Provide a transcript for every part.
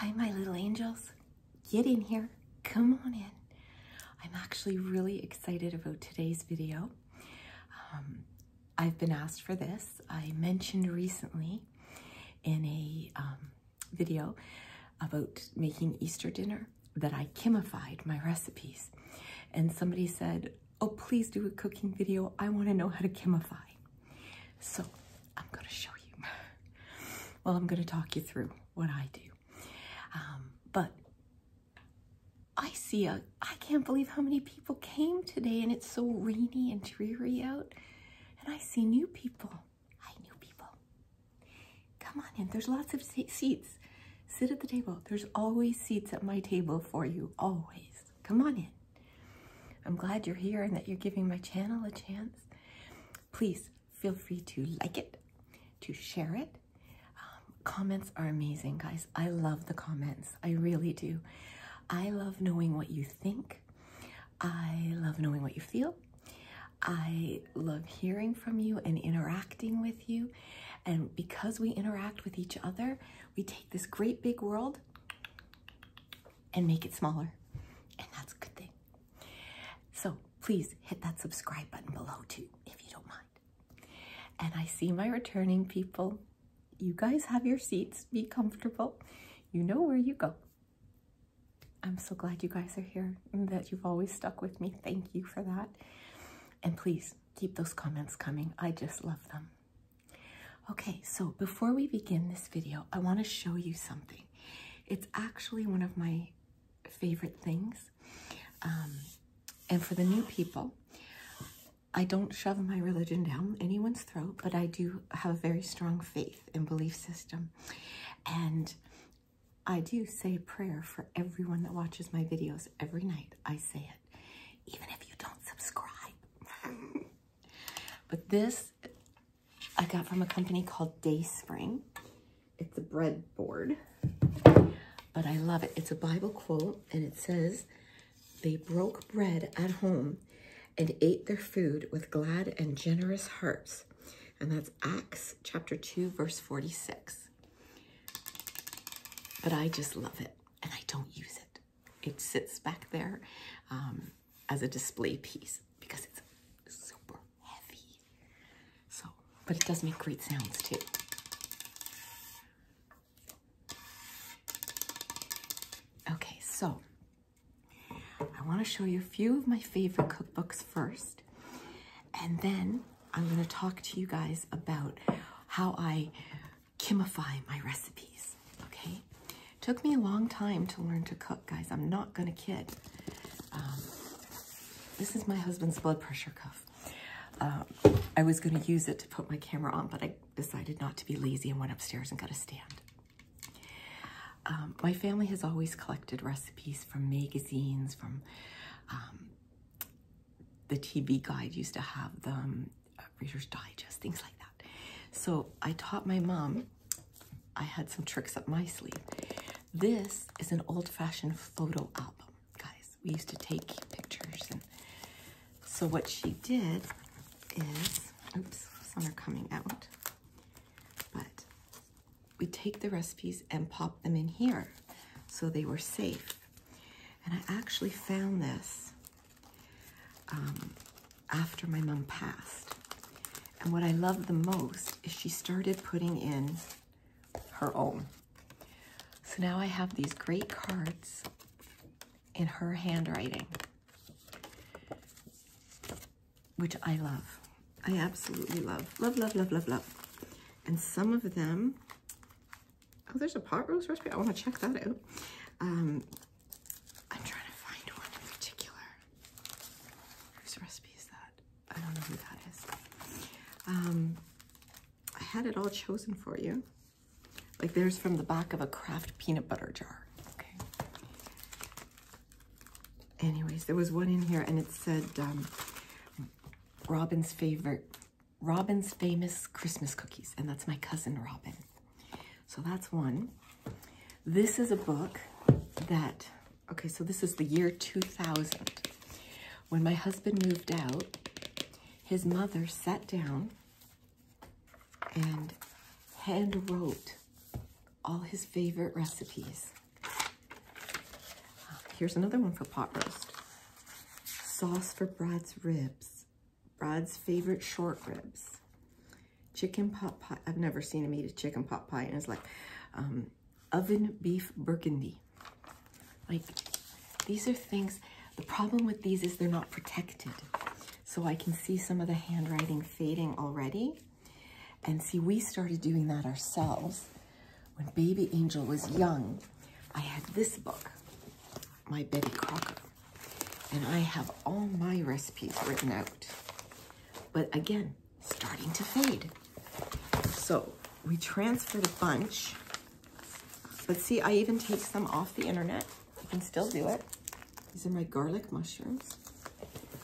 Hi, my little angels. Get in here. Come on in. I'm actually really excited about today's video. Um, I've been asked for this. I mentioned recently in a um, video about making Easter dinner that I chemified my recipes. And somebody said, oh, please do a cooking video. I want to know how to chemify. So I'm going to show you. well, I'm going to talk you through what I do. Um, but I see a, I can't believe how many people came today and it's so rainy and dreary out. And I see new people. Hi, new people. Come on in. There's lots of seats. Sit at the table. There's always seats at my table for you. Always. Come on in. I'm glad you're here and that you're giving my channel a chance. Please feel free to like it, to share it. Um, comments are amazing, guys. I love the comments. I really do. I love knowing what you think. I love knowing what you feel. I love hearing from you and interacting with you. And because we interact with each other, we take this great big world and make it smaller. And that's a good thing. So please hit that subscribe button below too, if you don't mind. And I see my returning people. You guys have your seats, be comfortable. You know where you go. I'm so glad you guys are here that you've always stuck with me. Thank you for that. And please keep those comments coming. I just love them. Okay, so before we begin this video, I want to show you something. It's actually one of my favorite things. Um, and for the new people, I don't shove my religion down anyone's throat, but I do have a very strong faith and belief system. And I do say prayer for everyone that watches my videos every night. I say it, even if you don't subscribe. But this I got from a company called Day Spring. It's a bread board, but I love it. It's a Bible quote, and it says, they broke bread at home and ate their food with glad and generous hearts. And that's Acts chapter 2, verse 46. But I just love it, and I don't use it it sits back there um, as a display piece because it's super heavy. So, but it does make great sounds too. Okay, so I want to show you a few of my favorite cookbooks first, and then I'm going to talk to you guys about how I kimify my recipes. Okay, took me a long time to learn to cook, guys. I'm not gonna kid. Um, this is my husband's blood pressure cuff. Uh, I was gonna use it to put my camera on, but I decided not to be lazy and went upstairs and got a stand. Um, my family has always collected recipes from magazines, from um, the TV guide used to have them, uh, Reader's Digest, things like that. So I taught my mom, I had some tricks up my sleeve. This is an old fashioned photo album, guys. We used to take pictures. And so what she did is, oops, some are coming out, but we take the recipes and pop them in here so they were safe. And I actually found this um, after my mom passed. And what I love the most is she started putting in her own. So now I have these great cards in her handwriting, which I love. I absolutely love, love, love, love, love, love. And some of them, oh, there's a pot roast recipe. I want to check that out. Um, I'm trying to find one in particular. Whose recipe is that? I don't know who that is. Um, I had it all chosen for you. Like there's from the back of a Kraft peanut butter jar. Okay. Anyways, there was one in here and it said um, Robin's favorite, Robin's famous Christmas cookies. And that's my cousin Robin. So that's one. This is a book that, okay, so this is the year 2000. When my husband moved out, his mother sat down and handwrote all his favorite recipes. Here's another one for pot roast. Sauce for Brad's ribs, Rod's favorite short ribs. Chicken pot pie. I've never seen him eat a chicken pot pie. And it's like um, oven beef burgundy. Like, these are things, the problem with these is they're not protected. So I can see some of the handwriting fading already. And see, we started doing that ourselves. When Baby Angel was young, I had this book, My Betty Crocker. And I have all my recipes written out. But again, starting to fade. So we transferred a bunch. Let's see, I even take some off the internet. You can still do it. These are my garlic mushrooms,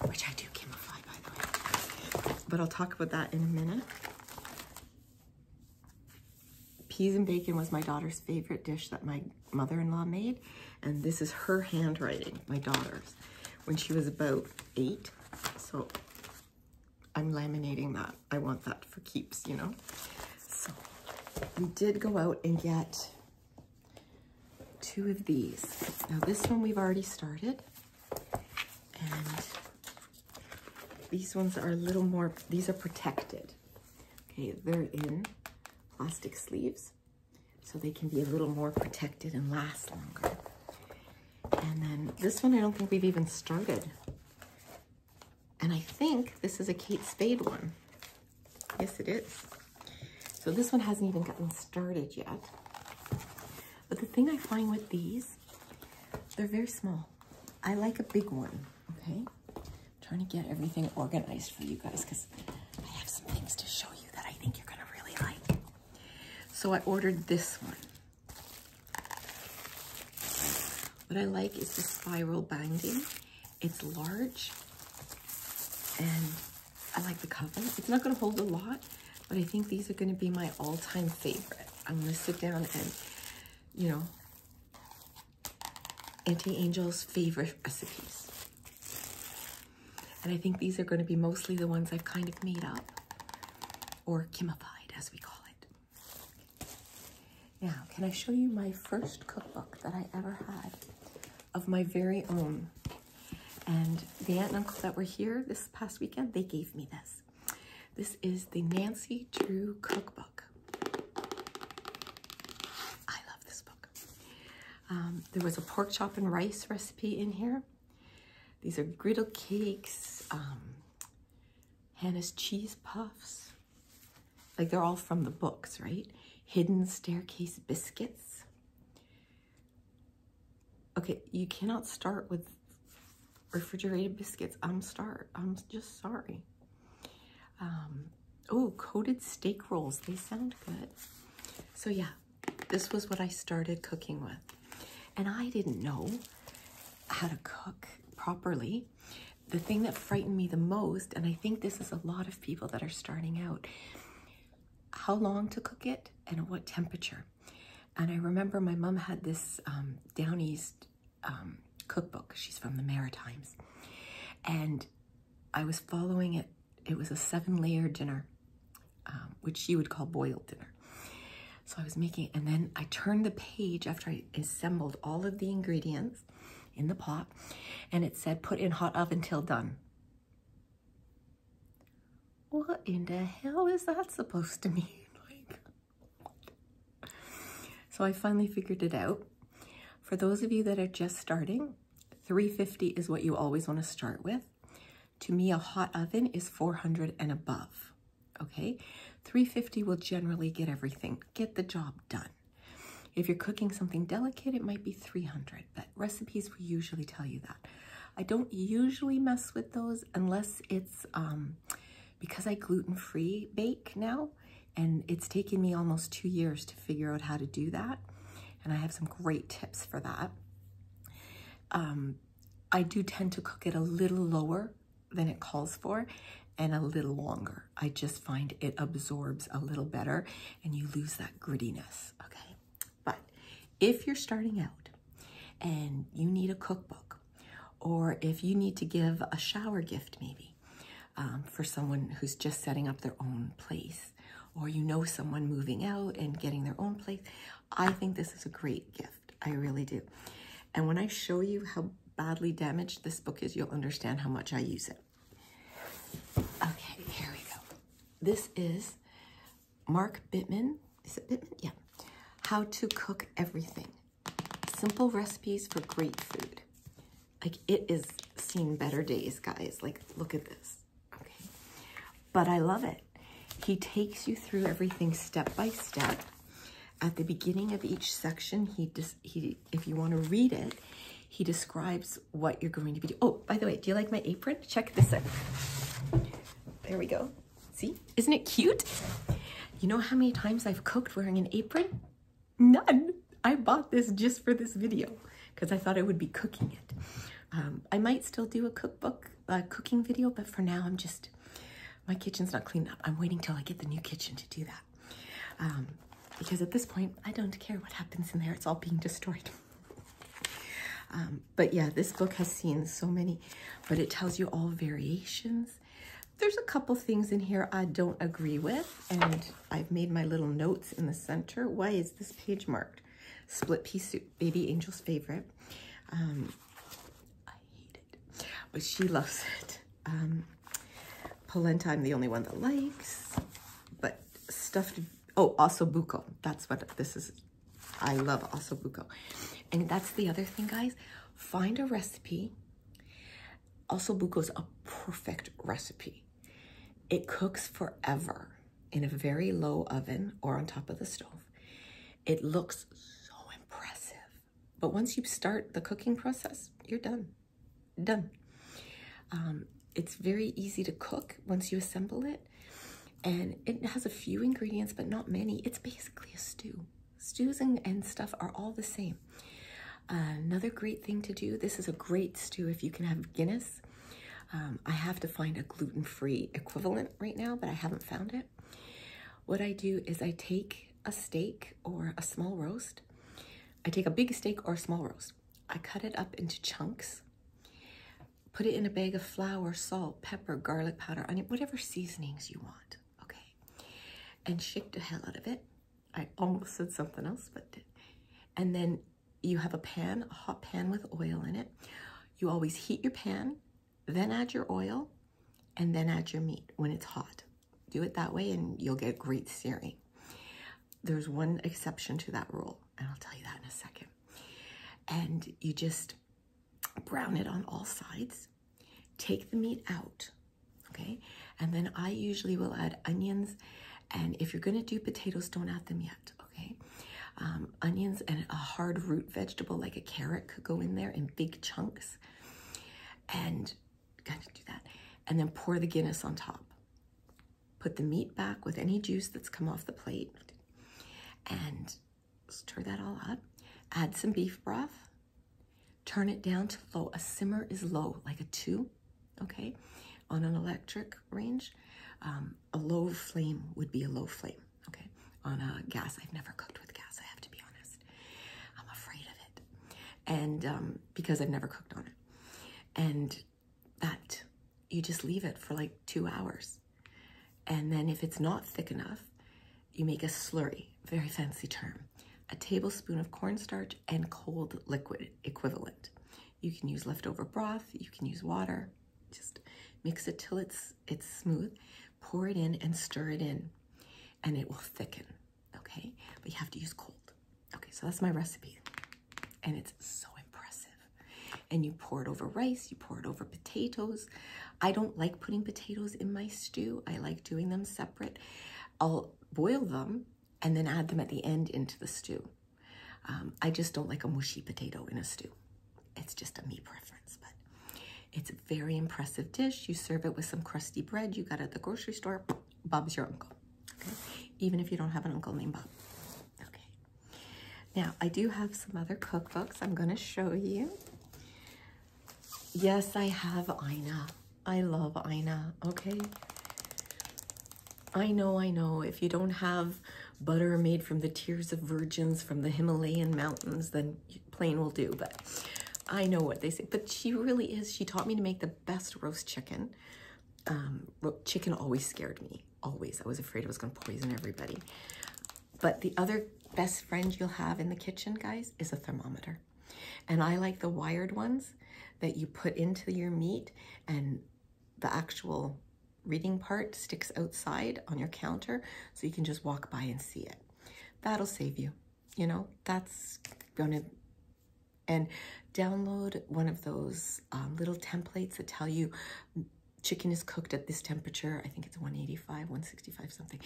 which I do camouflage, by the way. But I'll talk about that in a minute. Peas and bacon was my daughter's favorite dish that my mother-in-law made. And this is her handwriting, my daughter's, when she was about eight. So I'm laminating that. I want that for keeps, you know? we did go out and get two of these. Now this one we've already started. And these ones are a little more, these are protected. Okay, they're in plastic sleeves, so they can be a little more protected and last longer. And then this one, I don't think we've even started. And I think this is a Kate Spade one. Yes, it is. So this one hasn't even gotten started yet. But the thing I find with these, they're very small. I like a big one, okay? trying to get everything organized for you guys because I have some things to show you that I think you're going to really like. So I ordered this one. What I like is the spiral binding. It's large and I like the cover. It's not gonna hold a lot, but I think these are gonna be my all-time favorite. I'm gonna sit down and, you know, Auntie Angel's favorite recipes. And I think these are going to be mostly the ones I've kind of made up or chemified, as we call it. Now, can I show you my first cookbook that I ever had of my very own? And the aunt and uncle that were here this past weekend, they gave me this. This is the Nancy Drew Cookbook. I love this book. Um, there was a pork chop and rice recipe in here. These are griddle cakes, um, Hannah's cheese puffs. Like they're all from the books, right? Hidden staircase biscuits. Okay, you cannot start with refrigerated biscuits. I'm start. I'm just sorry oh, coated steak rolls. They sound good. So yeah, this was what I started cooking with. And I didn't know how to cook properly. The thing that frightened me the most, and I think this is a lot of people that are starting out, how long to cook it and at what temperature. And I remember my mom had this um, down east um, cookbook. She's from the Maritimes. And I was following it. It was a seven layer dinner, um, which you would call boiled dinner. So I was making, and then I turned the page after I assembled all of the ingredients in the pot, and it said, put in hot oven till done. What in the hell is that supposed to mean? like, so I finally figured it out. For those of you that are just starting, 350 is what you always want to start with. To me, a hot oven is 400 and above, okay? 350 will generally get everything, get the job done. If you're cooking something delicate, it might be 300, but recipes will usually tell you that. I don't usually mess with those unless it's, um, because I gluten-free bake now, and it's taken me almost two years to figure out how to do that. And I have some great tips for that. Um, I do tend to cook it a little lower than it calls for and a little longer. I just find it absorbs a little better and you lose that grittiness, okay? But if you're starting out and you need a cookbook or if you need to give a shower gift maybe, um, for someone who's just setting up their own place, or you know someone moving out and getting their own place, I think this is a great gift. I really do. And when I show you how badly damaged this book is, you'll understand how much I use it. Okay, here we go. This is Mark Bittman. Is it Bittman? Yeah. How to cook everything. Simple recipes for great food. Like it is seen better days, guys. Like look at this, okay? But I love it. He takes you through everything step by step. At the beginning of each section, he just, he if you want to read it, he describes what you're going to be doing. Oh, by the way, do you like my apron? Check this out. There we go. See, isn't it cute? You know how many times I've cooked wearing an apron? None. I bought this just for this video because I thought I would be cooking it. Um, I might still do a cookbook, a cooking video, but for now I'm just, my kitchen's not cleaned up. I'm waiting till I get the new kitchen to do that. Um, because at this point, I don't care what happens in there. It's all being destroyed. Um, but yeah, this book has seen so many, but it tells you all variations. There's a couple things in here I don't agree with, and I've made my little notes in the center. Why is this page marked? Split pea soup, baby angel's favorite. Um, I hate it, but she loves it. Um, polenta, I'm the only one that likes, but stuffed, oh, also buco. That's what this is. I love also buco. And that's the other thing, guys. Find a recipe also, bucco's a perfect recipe. It cooks forever in a very low oven or on top of the stove. It looks so impressive. But once you start the cooking process, you're done. Done. Um, it's very easy to cook once you assemble it. And it has a few ingredients, but not many. It's basically a stew. Stews and stuff are all the same. Uh, another great thing to do, this is a great stew if you can have Guinness. Um, I have to find a gluten-free equivalent right now, but I haven't found it. What I do is I take a steak or a small roast. I take a big steak or a small roast. I cut it up into chunks, put it in a bag of flour, salt, pepper, garlic powder, onion, whatever seasonings you want, okay? And shake the hell out of it. I almost said something else, but And then you have a pan, a hot pan with oil in it. You always heat your pan, then add your oil, and then add your meat when it's hot. Do it that way and you'll get great searing. There's one exception to that rule, and I'll tell you that in a second. And you just brown it on all sides. Take the meat out okay? And then I usually will add onions, and if you're gonna do potatoes, don't add them yet, okay? Um, onions and a hard root vegetable like a carrot could go in there in big chunks, and kind of do that. And then pour the Guinness on top. Put the meat back with any juice that's come off the plate, and stir that all up. Add some beef broth Turn it down to low. A simmer is low, like a two, okay, on an electric range. Um, a low flame would be a low flame, okay, on a gas. I've never cooked with gas, I have to be honest. I'm afraid of it. And um, because I've never cooked on it. And that, you just leave it for like two hours. And then if it's not thick enough, you make a slurry, very fancy term a tablespoon of cornstarch, and cold liquid equivalent. You can use leftover broth, you can use water. Just mix it till it's, it's smooth, pour it in and stir it in, and it will thicken, okay? But you have to use cold. Okay, so that's my recipe, and it's so impressive. And you pour it over rice, you pour it over potatoes. I don't like putting potatoes in my stew. I like doing them separate. I'll boil them and then add them at the end into the stew. Um, I just don't like a mushy potato in a stew. It's just a me preference, but it's a very impressive dish. You serve it with some crusty bread you got at the grocery store. Bob's your uncle, okay? Even if you don't have an uncle named Bob. Okay. Now, I do have some other cookbooks I'm gonna show you. Yes, I have Ina. I love Ina, okay? I know, I know, if you don't have butter made from the tears of virgins from the Himalayan mountains, then plain will do, but I know what they say. But she really is, she taught me to make the best roast chicken. Um, chicken always scared me, always. I was afraid it was gonna poison everybody. But the other best friend you'll have in the kitchen, guys, is a thermometer. And I like the wired ones that you put into your meat and the actual reading part sticks outside on your counter so you can just walk by and see it. That'll save you. You know, that's gonna, and download one of those um, little templates that tell you chicken is cooked at this temperature. I think it's 185, 165 something.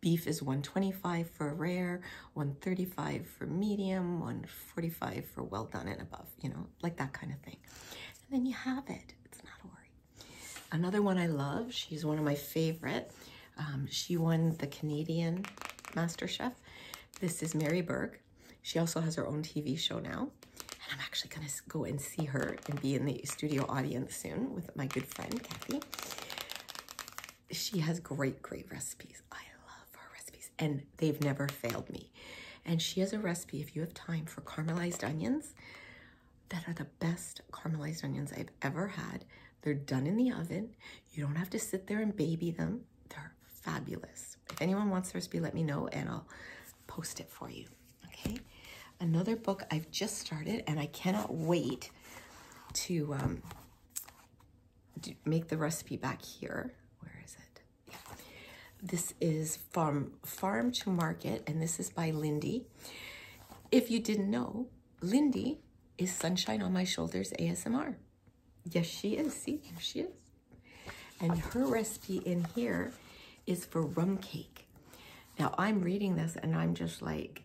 Beef is 125 for rare, 135 for medium, 145 for well done and above, you know, like that kind of thing. And then you have it. It's not a worry. Another one I love, she's one of my favorite. Um, she won the Canadian Master Chef. This is Mary Berg. She also has her own TV show now. And I'm actually going to go and see her and be in the studio audience soon with my good friend, Kathy she has great, great recipes. I love her recipes and they've never failed me. And she has a recipe, if you have time, for caramelized onions that are the best caramelized onions I've ever had. They're done in the oven. You don't have to sit there and baby them. They're fabulous. If anyone wants the recipe, let me know and I'll post it for you, okay? Another book I've just started and I cannot wait to um, make the recipe back here. Where is it? This is from Farm to Market, and this is by Lindy. If you didn't know, Lindy is Sunshine on My Shoulders ASMR. Yes, she is. See, here she is. And her recipe in here is for rum cake. Now, I'm reading this, and I'm just like,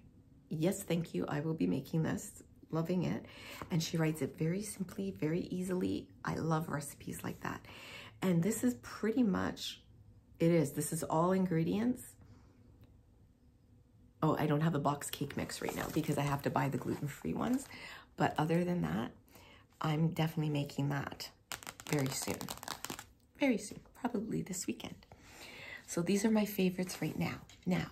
yes, thank you. I will be making this. Loving it. And she writes it very simply, very easily. I love recipes like that. And this is pretty much, it is. This is all ingredients. Oh, I don't have the box cake mix right now because I have to buy the gluten-free ones. But other than that, I'm definitely making that very soon. Very soon, probably this weekend. So these are my favorites right now. Now,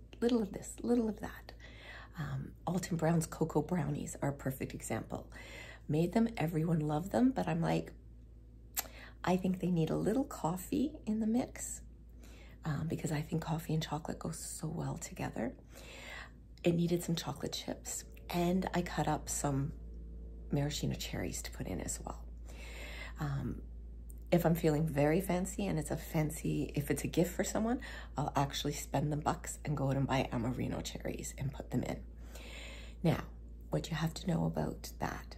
little of this, little of that. Um, Alton Brown's cocoa brownies are a perfect example. Made them, everyone loved them, but I'm like, I think they need a little coffee in the mix um, because I think coffee and chocolate go so well together. It needed some chocolate chips and I cut up some maraschino cherries to put in as well. Um, if I'm feeling very fancy and it's a fancy, if it's a gift for someone, I'll actually spend the bucks and go out and buy Amarino cherries and put them in. Now, what you have to know about that.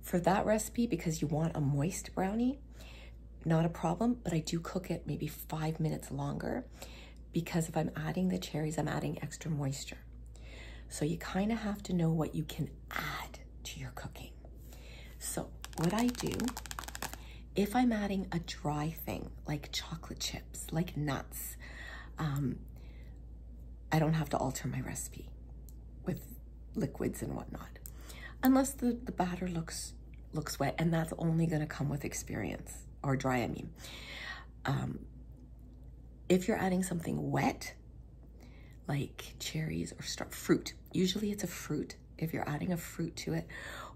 For that recipe, because you want a moist brownie, not a problem, but I do cook it maybe five minutes longer because if I'm adding the cherries, I'm adding extra moisture. So you kind of have to know what you can add to your cooking. So, what I do if I'm adding a dry thing like chocolate chips, like nuts, um, I don't have to alter my recipe with liquids and whatnot, unless the, batter looks looks wet, and that's only going to come with experience or dry. I mean, um, if you're adding something wet, like cherries or fruit, usually it's a fruit if you're adding a fruit to it,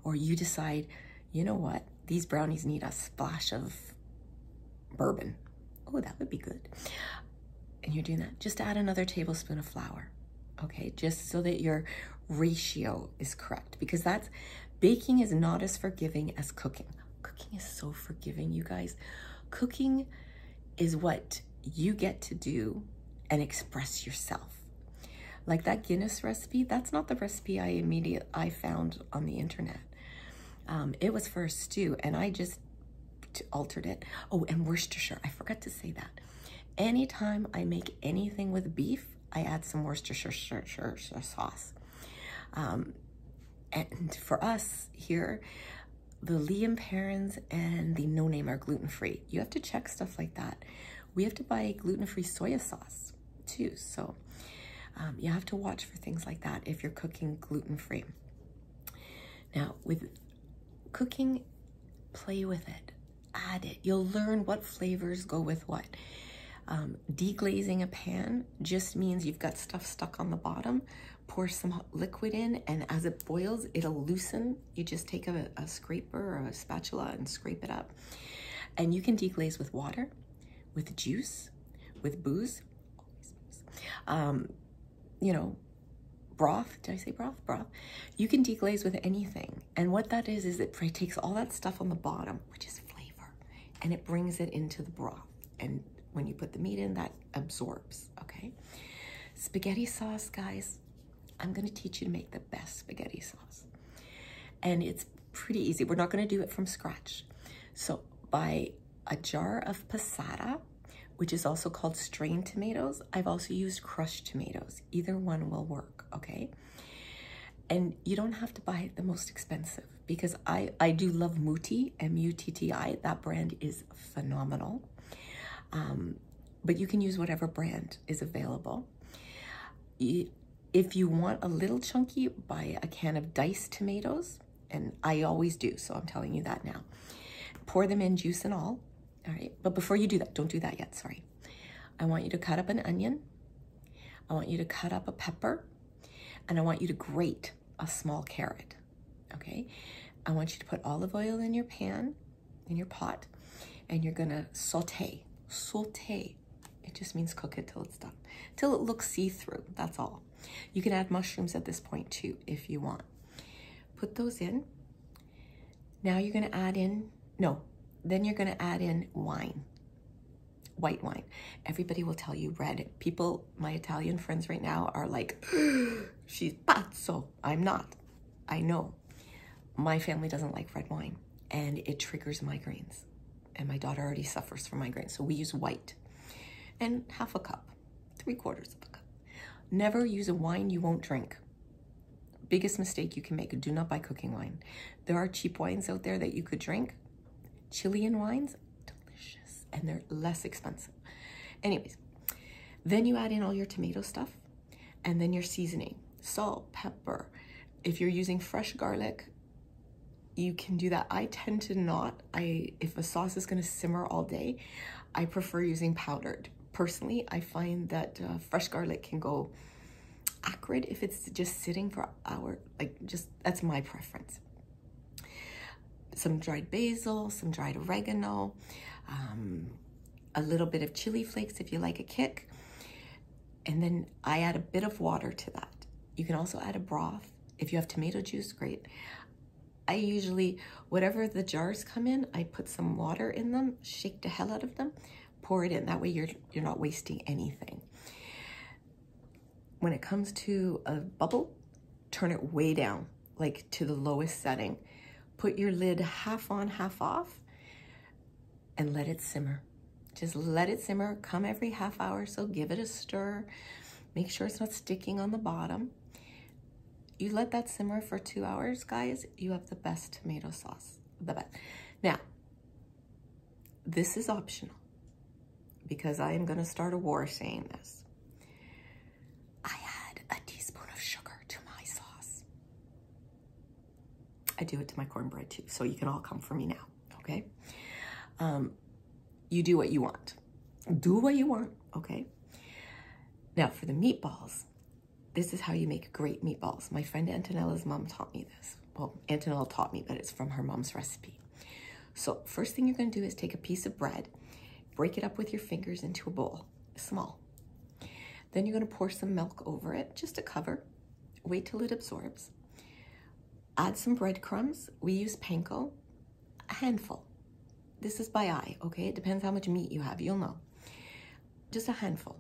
or you decide, you know what, these brownies need a splash of bourbon. Oh, that would be good. And you're doing that. Just add another tablespoon of flour, okay? Just so that your ratio is correct because that's, baking is not as forgiving as cooking. Cooking is so forgiving, you guys. Cooking is what you get to do and express yourself. Like that Guinness recipe, that's not the recipe I immediately I found on the internet. Um, it was for a stew, and I just altered it. Oh, and Worcestershire. I forgot to say that. Anytime I make anything with beef, I add some Worcestershire sauce. Um, and for us here, the Liam parents and the No Name are gluten-free. You have to check stuff like that. We have to buy gluten-free soy sauce too. So um, you have to watch for things like that if you're cooking gluten-free. Now with cooking, play with it, add it. You'll learn what flavors go with what. Um, deglazing a pan just means you've got stuff stuck on the bottom. Pour some liquid in and as it boils, it'll loosen you just take a, a scraper or a spatula and scrape it up. And you can deglaze with water, with juice, with booze, um, you know, broth. Did I say broth? Broth. You can deglaze with anything. And what that is, is it takes all that stuff on the bottom, which is flavor, and it brings it into the broth. And when you put the meat in, that absorbs, okay? Spaghetti sauce, guys, I'm going to teach you to make the best spaghetti sauce. And it's pretty easy. We're not going to do it from scratch. So buy a jar of passata, which is also called strained tomatoes. I've also used crushed tomatoes. Either one will work, okay? And you don't have to buy the most expensive because I, I do love Mutti, M-U-T-T-I. That brand is phenomenal. Um, but you can use whatever brand. Is available. If you want a little chunky, buy a can of diced tomatoes, and I always do, so I'm telling you that now. Pour them in juice and all, all right? But before you do that, don't do that yet, sorry. I want you to cut up an onion. I want you to cut up a pepper, and I want you to grate a small carrot, okay? I want you to put olive oil in your pan in your pot and you're gonna saute, saute. It just means cook it till it's done, till it looks see-through, that's all. You can add mushrooms at this point too, if you want. Put those in. Now you're gonna add in, no, then you're gonna add in wine, white wine. Everybody will tell you red. People, my Italian friends right now are like, she's pazzo. I'm not. I know my family doesn't like red wine and it triggers migraines. And my daughter already suffers from migraines. So we use white and half a cup, three quarters of a cup. Never use a wine you won't drink. Biggest mistake you can make, do not buy cooking wine. There are cheap wines out there that you could drink. Chilean wines, delicious, and they're less expensive. Anyways, then you add in all your tomato stuff and then your seasoning, salt, pepper. If you're using fresh garlic, you can do that. I tend to not, I if a sauce is gonna simmer all day, I prefer using powdered. Personally, I find that uh, fresh garlic can go acrid if it's just sitting for hour, like just, that's my preference. Some dried basil, some dried oregano, um, a little bit of chili flakes if you like a kick. And then I add a bit of water to that. You can also add a broth. If you have tomato juice, great. I usually, whatever the jars come in, I put some water in them, shake the hell out of them, pour it in. That way you're, you're not wasting anything. When it comes to a bubble, turn it way down, like to the lowest setting. Put your lid half on, half off, and let it simmer. Just let it simmer, come every half hour, so give it a stir. Make sure it's not sticking on the bottom. You let that simmer for two hours, guys, you have the best tomato sauce, the best. Now, this is optional because I am gonna start a war saying this. I add a teaspoon of sugar to my sauce. I do it to my cornbread too, so you can all come for me now, okay? Um, you do what you want. Do what you want, okay? Now for the meatballs, this is how you make great meatballs. My friend Antonella's mom taught me this. Well, Antonella taught me, but it's from her mom's recipe. So first thing you're gonna do is take a piece of bread, break it up with your fingers into a bowl small. Then you're gonna pour some milk over it, just to cover. Wait till it absorbs. Add some breadcrumbs. We use panko, a handful. This is by eye, okay? It depends how much meat you have, you'll know. Just a handful.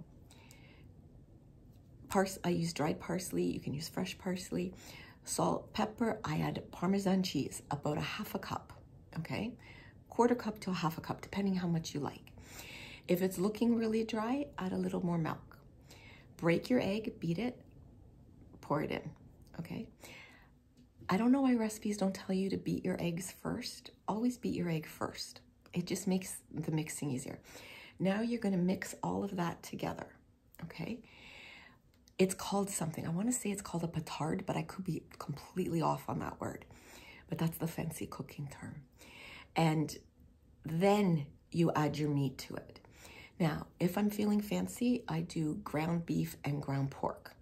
Pars I use dried parsley, you can use fresh parsley. Salt, pepper, I add Parmesan cheese, about a half a cup okay? Quarter cup to half a cup, depending how much you like. If it's looking really dry, add a little more milk. Break your egg, beat it, pour it in, okay? I don't know why recipes don't tell you to beat your eggs first. Always beat your egg first. It just makes the mixing easier. Now you're gonna mix all of that together, okay? It's called something. I wanna say it's called a petard, but I could be completely off on that word but that's the fancy cooking term. And then you add your meat to it. Now, if I'm feeling fancy, I do ground beef and ground pork.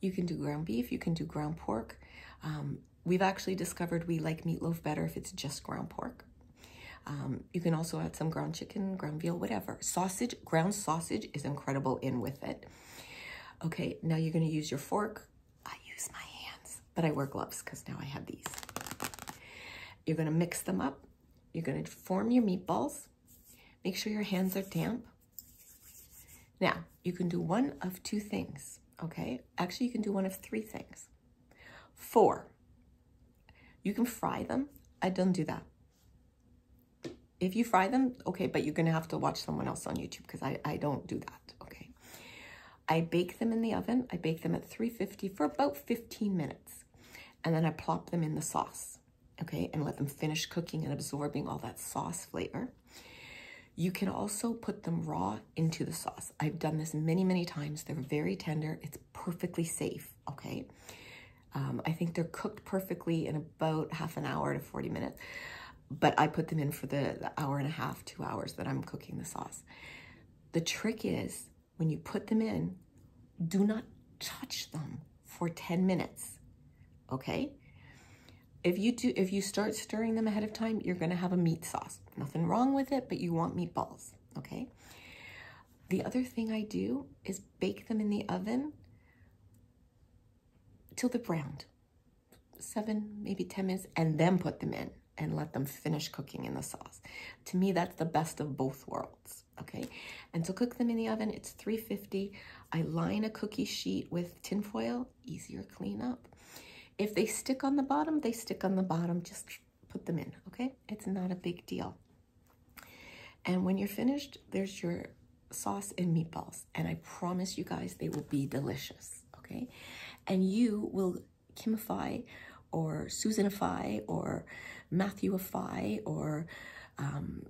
You can do ground beef, you can do ground pork. Um, we've actually discovered we like meatloaf better if it's just ground pork. Um, you can also add some ground chicken, ground veal, whatever. Sausage, ground sausage is incredible in with it. Okay, now you're gonna use your fork, I use my hands, but I wear gloves because now I have these. You're gonna mix them up. You're gonna form your meatballs. Make sure your hands are damp. Now, you can do one of two things, okay? Actually, you can do one of three things. Four, you can fry them. I don't do that. If you fry them, okay, but you're gonna have to watch someone else on YouTube because I, I don't do that okay? I bake them in the oven. I bake them at 350 for about 15 minutes. And then I plop them in the sauce, okay? And let them finish cooking and absorbing all that sauce flavor. You can also put them raw into the sauce. I've done this many, many times. They're very tender. It's perfectly safe, okay? Um, I think they're cooked perfectly in about half an hour to 40 minutes but I put them in for the, hour and a half, two hours that I'm cooking the sauce. The trick is when you put them in, do not touch them for 10 minutes, okay? If you do, if you start stirring them ahead of time, you're gonna have a meat sauce. Nothing wrong with it, but you want meatballs, okay? The other thing I do is bake them in the oven till they're browned seven, maybe 10 minutes, and then put them in and let them finish cooking in the sauce. To me, that's the best of both worlds, okay? And to cook them in the oven, it's 350. I line a cookie sheet with tinfoil, easier clean up. If they stick on the bottom, they stick on the bottom, just put them in, okay? It's not a big deal. And when you're finished, there's your sauce and meatballs. And I promise you guys, they will be delicious, okay? And you will Kimify or Susanify or Matthewify or um,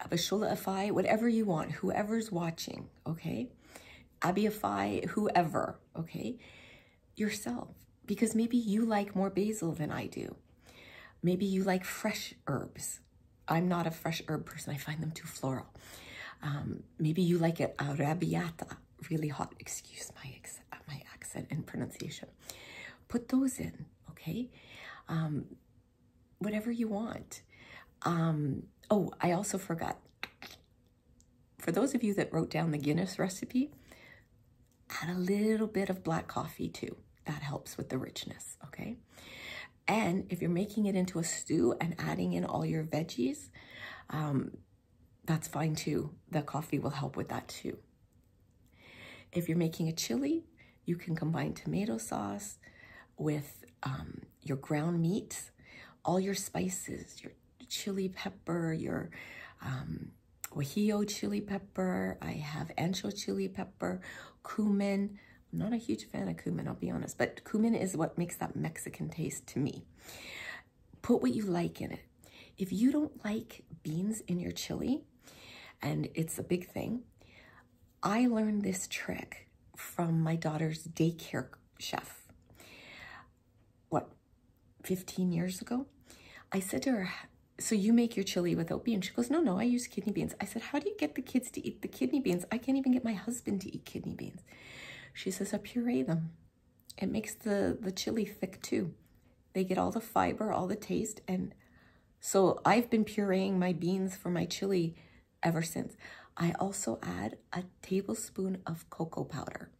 Abishulaify, whatever you want, whoever's watching, okay? Abiify, whoever, okay? Yourself, because maybe you like more basil than I do. Maybe you like fresh herbs, I'm not a fresh herb person. I find them too floral. Um, maybe you like it Arabiata, really hot. Excuse my, my accent and pronunciation. Put those in, okay? Um, whatever you want. Um, oh, I also forgot. For those of you that wrote down the Guinness recipe, add a little bit of black coffee too. That helps with the richness, okay? And if you're making it into a stew and adding in all your veggies, um, that's fine too. The coffee will help with that too. If you're making a chili, you can combine tomato sauce with um, your ground meat, all your spices, your chili pepper, your um, chili pepper. I have ancho chili pepper, cumin, not a huge fan of cumin, I'll be honest, but cumin is what makes that Mexican taste to me. Put what you like in it. If you don't like beans in your chili, and it's a big thing, I learned this trick from my daughter's daycare chef. What, 15 years ago? I said to her, so you make your chili without beans? She goes, no, no, I use kidney beans. I said, how do you get the kids to eat?" the kidney beans. I can't even get my husband to eat kidney beans. She says, I puree them. It makes the, the chili thick too. They get all the fiber, all the taste. And so I've been pureeing my beans for my chili ever since. I also add a tablespoon of cocoa powder.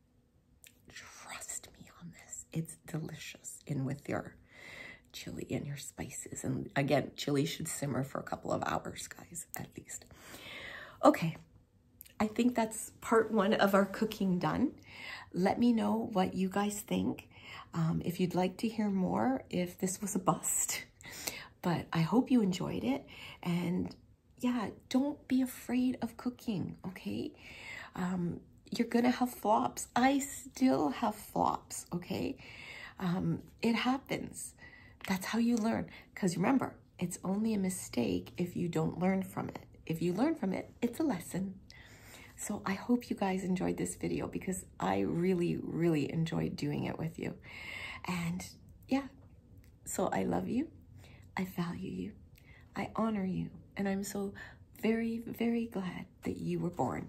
Trust me on this. It's delicious in with your chili and your spices. And again, chili should simmer for a couple of hours, guys at least. Okay, I think that's part one of our cooking done. Let me know what you guys think. Um, if you'd like to hear more, if this was a bust, but I hope you enjoyed it. And yeah, don't be afraid of cooking, okay? Um, you're gonna have flops. I still have flops, okay? Um, it happens. That's how you learn. Because remember, it's only a mistake if you don't learn from it. If you learn from it, it's a lesson. So I hope you guys enjoyed this video because I really, really enjoyed doing it with you. And yeah, so I love you. I value you. I honor you. And I'm so very, very glad that you were born.